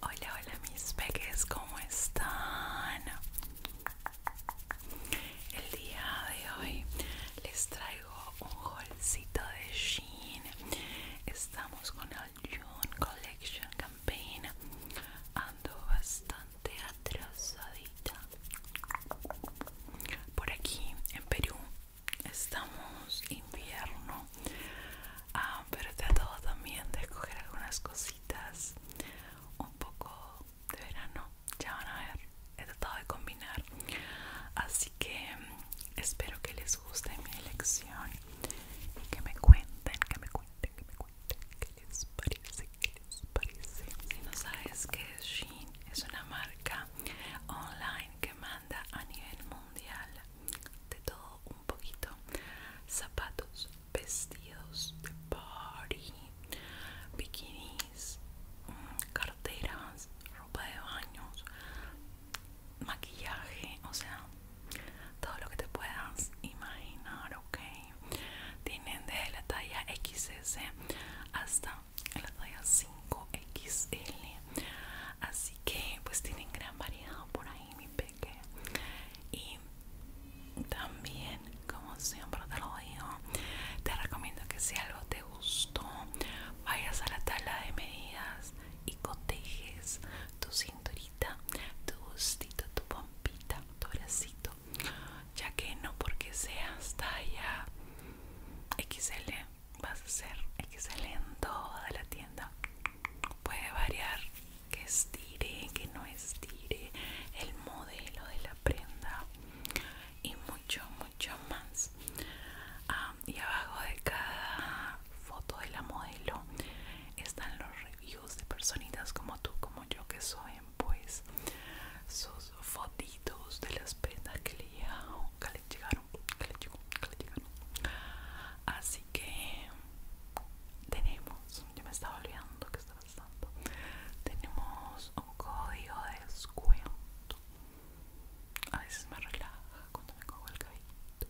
Hola, hola mis peques, ¿cómo están? El día de hoy les traigo un golcito de jean Estamos con el June Collection Campaign. Ando bastante atrasadita. Por aquí en Perú estamos invierno Ah, pero he tratado también de escoger algunas cositas un poco de verano ya van a ver he tratado de combinar así que mm, espero que les guste mi elección y que me cuenten que me cuenten que me cuenten qué les parece qué les parece si no sabes que es Shein es una marca online que manda a nivel mundial de todo un poquito zapatos vestidos de party bikinis mm, carteras ropa de baños maquillaje o sea todo lo que te puedas imaginar ok tienen desde la talla XS hasta la talla 5XL así que pues tienen gran variedad por ahí mi peque y también como siempre te lo digo te recomiendo que si algo te gustó vayas a la tabla de medidas y cotejes tu cinturita tu gustito tu pompita tu bracito ya que no porque seas talla XL vas a ser excelente en toda la tienda. Puede variar que estire, que no estire, el modelo de la prenda y mucho, mucho más. y abajo de cada foto de la modelo están los reviews de personitas como tú, como yo que soy, pues sus fotitos de las prendas que le que les llegaron, que que llegaron. Así que tenemos, yo me estaba olvidando que estaba pasando. Tenemos un código de descuento. A veces me relaja cuando me cojo el cabrito.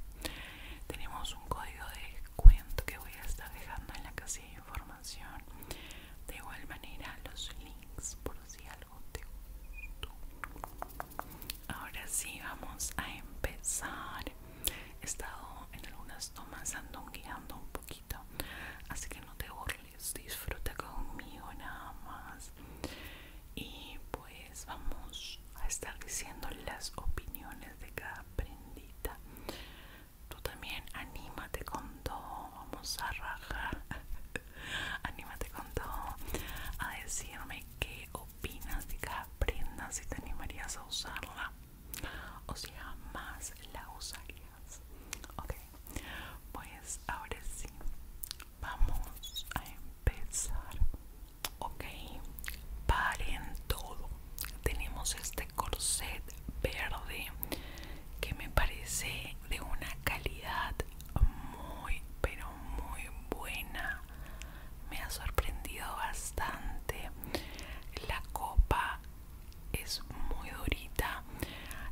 Tenemos un código de descuento que voy a estar dejando en la casilla de información. De igual manera los links por si algo Ahora sí, vamos a empezar. He estado en algunas tomas andongueando un poquito, así que no te burles, disfruta conmigo nada más. Y pues vamos a estar diciendo las opiniones de cada prendita. Tú también anímate con todo, vamos a rajar. Anímate con todo a decirme qué opinas de cada prenda, si te animarías a usarla o si jamás la usarías. Ok, pues ahora sí, vamos a empezar. Ok, paren todo. Tenemos este corset verde que me parece de una calidad muy pero muy buena me ha sorprendido bastante la copa es muy durita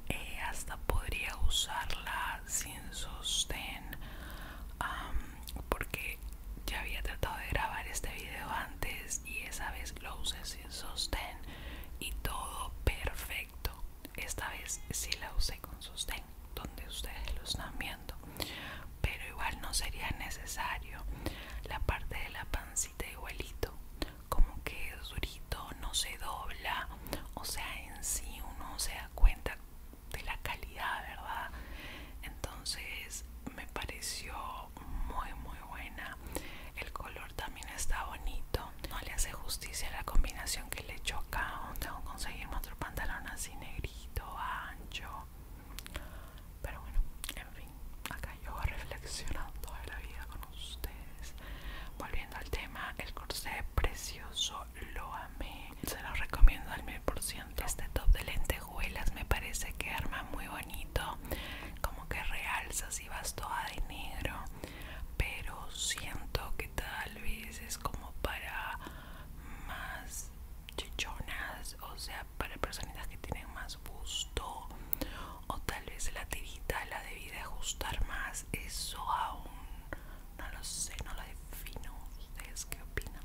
eh, hasta podría usarla sin sostén porque ya había tratado de grabar este video antes y esa vez lo usé sin sostén y todo perfecto esta vez sí la usé con sostén donde ustedes lo están viendo pero igual no sería necesario la parte de la pancita igualito como que es durito no se dobla o sea en sí uno se da cuenta de la calidad verdad entonces me pareció muy muy buena el color también está bonito. No le hace justicia la combinación que le choca Tengo que conseguirme otro pantalón así negrito, ancho. Pero bueno, en fin, acá yo reflexionando toda la vida con ustedes. Volviendo al tema, el corsé precioso, lo amé. Se lo recomiendo al 100%. Este top de lentejuelas me parece que arma muy bonito. Como que realza si vas toda de negro pero siento que tal vez es como para más chichonas o sea para personas que tienen más gusto o tal vez la tirita la debí ajustar más eso aún no lo sé no lo defino ustedes qué opinan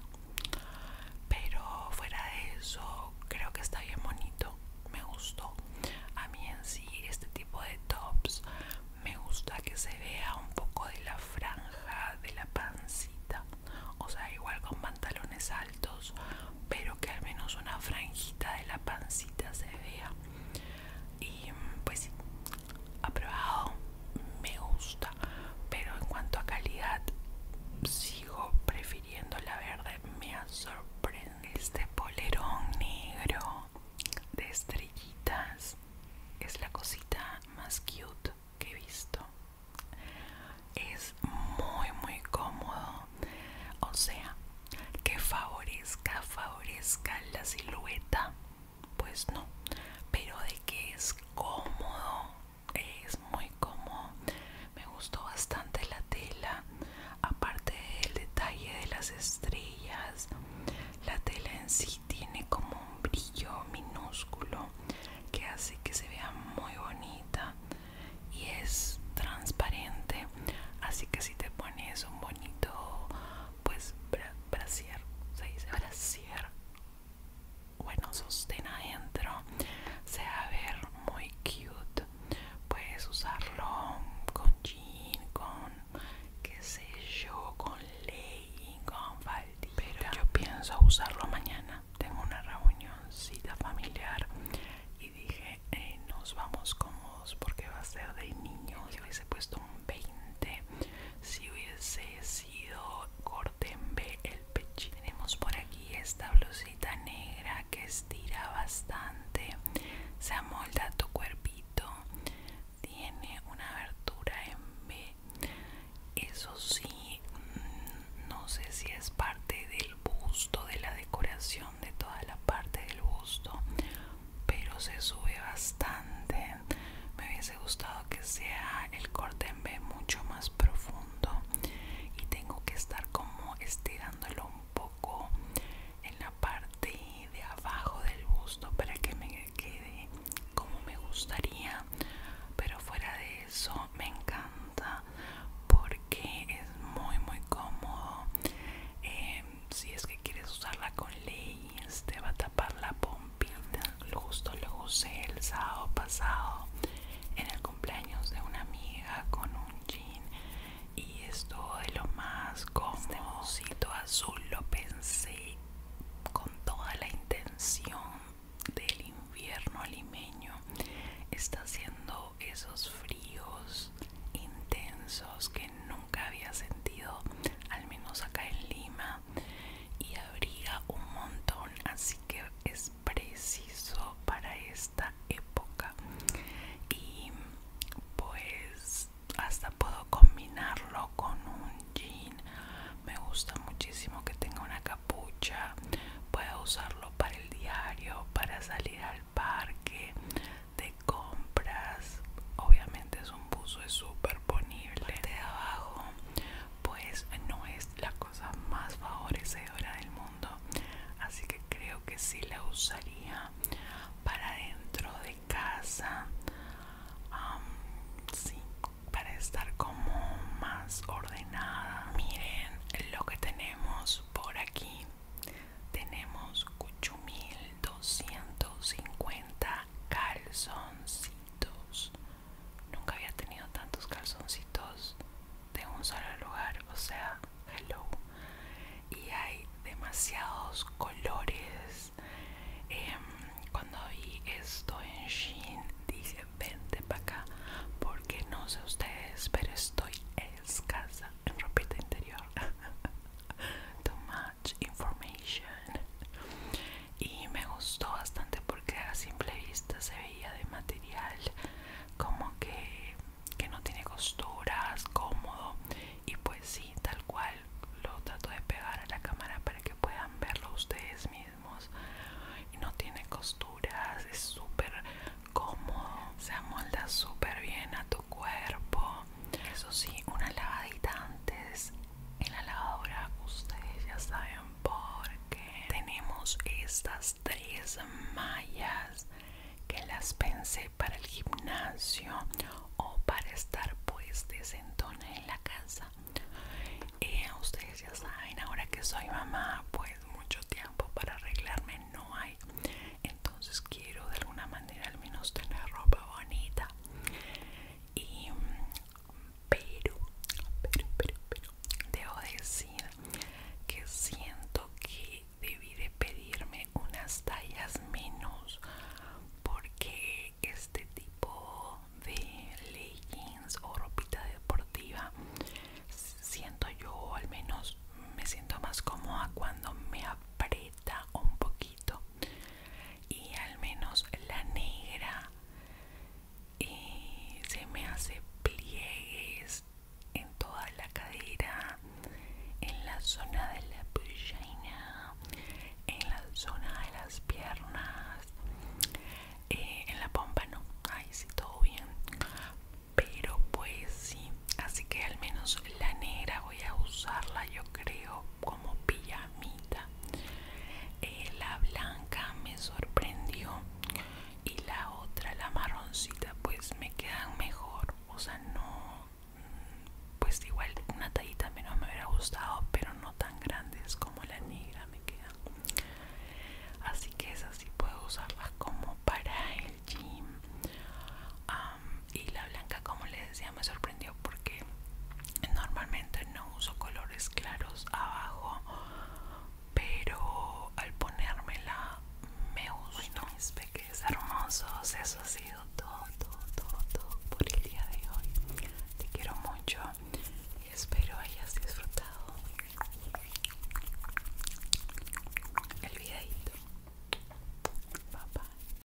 pero fuera de eso creo que está bien bonito me gustó a mí en sí este tipo de tops me gusta que se vea un poco de la franja de la pancita o sea igual con pantalones altos pero que al menos una franjita de la pancita se vea y pues aprobado me gusta pero en cuanto a calidad sigo prefiriendo la verde me ha sorprendido este polerón negro de estrellitas es la cosita más cute que he visto es muy muy cómodo o sea que favorezca favorezca la silueta pues no pero de que es cómodo es muy cómodo me gustó bastante la tela aparte del detalle de las estrellas la tela en sí tiene como un brillo minúsculo que hace que se vea muy bonita y es transparente así que si te pones un bonito pues se dice brasier bueno sostén adentro se va a ver muy cute Puedes usarlo con jean, con qué sé yo, con ley con faldita. Pero yo pienso usarlo mañana. Tengo una reunióncita familiar y dije, eh, nos vamos cómodos porque va a ser de niños. Si hubiese puesto un 20 si hubiese sido corte el pechín Tenemos por aquí esta negra que estira bastante, se amolda tu cuerpito, tiene una abertura en B. Eso sí, mm, no sé si es parte del busto, de la decoración de toda la parte del busto, pero se sube bastante. Me hubiese gustado que sea el corte en B mucho más profundo y tengo que estar como estirándolo un poco en la parte de abajo del busto para que me quede como me gustaría pero fuera de eso me encanta porque es muy muy cómodo em, si es que quieres usarla con leyes te va a tapar la pompita justo lo usé el sábado pasado en el cumpleaños de una amiga con un jean y esto de lo más cómodo. azul lo pensé con toda la intención del invierno limeño. Está haciendo esos fríos intensos que nunca había sentido, al menos acá en Lima, y abriga un montón, así que es preciso para esta época y pues hasta puedo combinarlo con un jean me gusta muchísimo que tenga una capucha puedo usarlo para el diario para salir al parque de compras obviamente es un buzo es súper ponible de abajo pues no es la cosa más favorecedora del mundo así que creo que sí la usaría para dentro de casa para estar como más ordenada miren lo que tenemos por aquí tenemos 8250 calzoncitos Nunca había tenido tantos calzoncitos de un solo lugar, o sea, hello. Y hay demasiados colores. Em, cuando vi esto en Shein dice vente para acá, porque no sé ustedes, pero estoy escasa en ropita interior. Too much information y me gustó bastante porque a simple vista se veía de material como que, no tiene costuras, cómodo y pues sí, tal cual lo trato de pegar a la cámara para que puedan verlo ustedes mismos no tiene costuras, es súper cómodo, se amolda súper bien a tu cuerpo eso sí, una lavadita antes en la lavadora ustedes ya saben porque tenemos estas tres mallas que las pensé para el gimnasio o para estar pues desentona en la casa y eh, ustedes ya saben ahora que soy mamá pues mucho tiempo para arreglarme no hay entonces quiero de alguna manera al menos tener ropa bonita y, pero, pero, pero, pero, debo decir que siento que debí de pedirme unas tallas menos porque este tipo de leggings o ropita deportiva siento yo al menos me siento más cómoda cuando me aprieta un poquito y al menos la negra y se me hace pliegues en toda la cadera en la zona de la pierna en la zona de las piernas eh, en la pompa no ahí sí todo bien pero pues sí así que al menos la negra voy a usarla yo creo como pilla eh, la blanca me sorprendió y la otra, la marroncita, pues me quedan mejor. O sea, no, mm, pues igual una tallita menos me hubiera gustado, pero no tan grandes como la negra me quedan. Así que esas sí puedo usarlas como para el gym y la blanca como les decía me sorprendió porque normalmente no uso colores claros abajo pero al ponérmela me gustó bueno, mis peques hermosos eso ha sido todo todo todo todo por el día de hoy te quiero mucho y espero hayas disfrutado el videito bye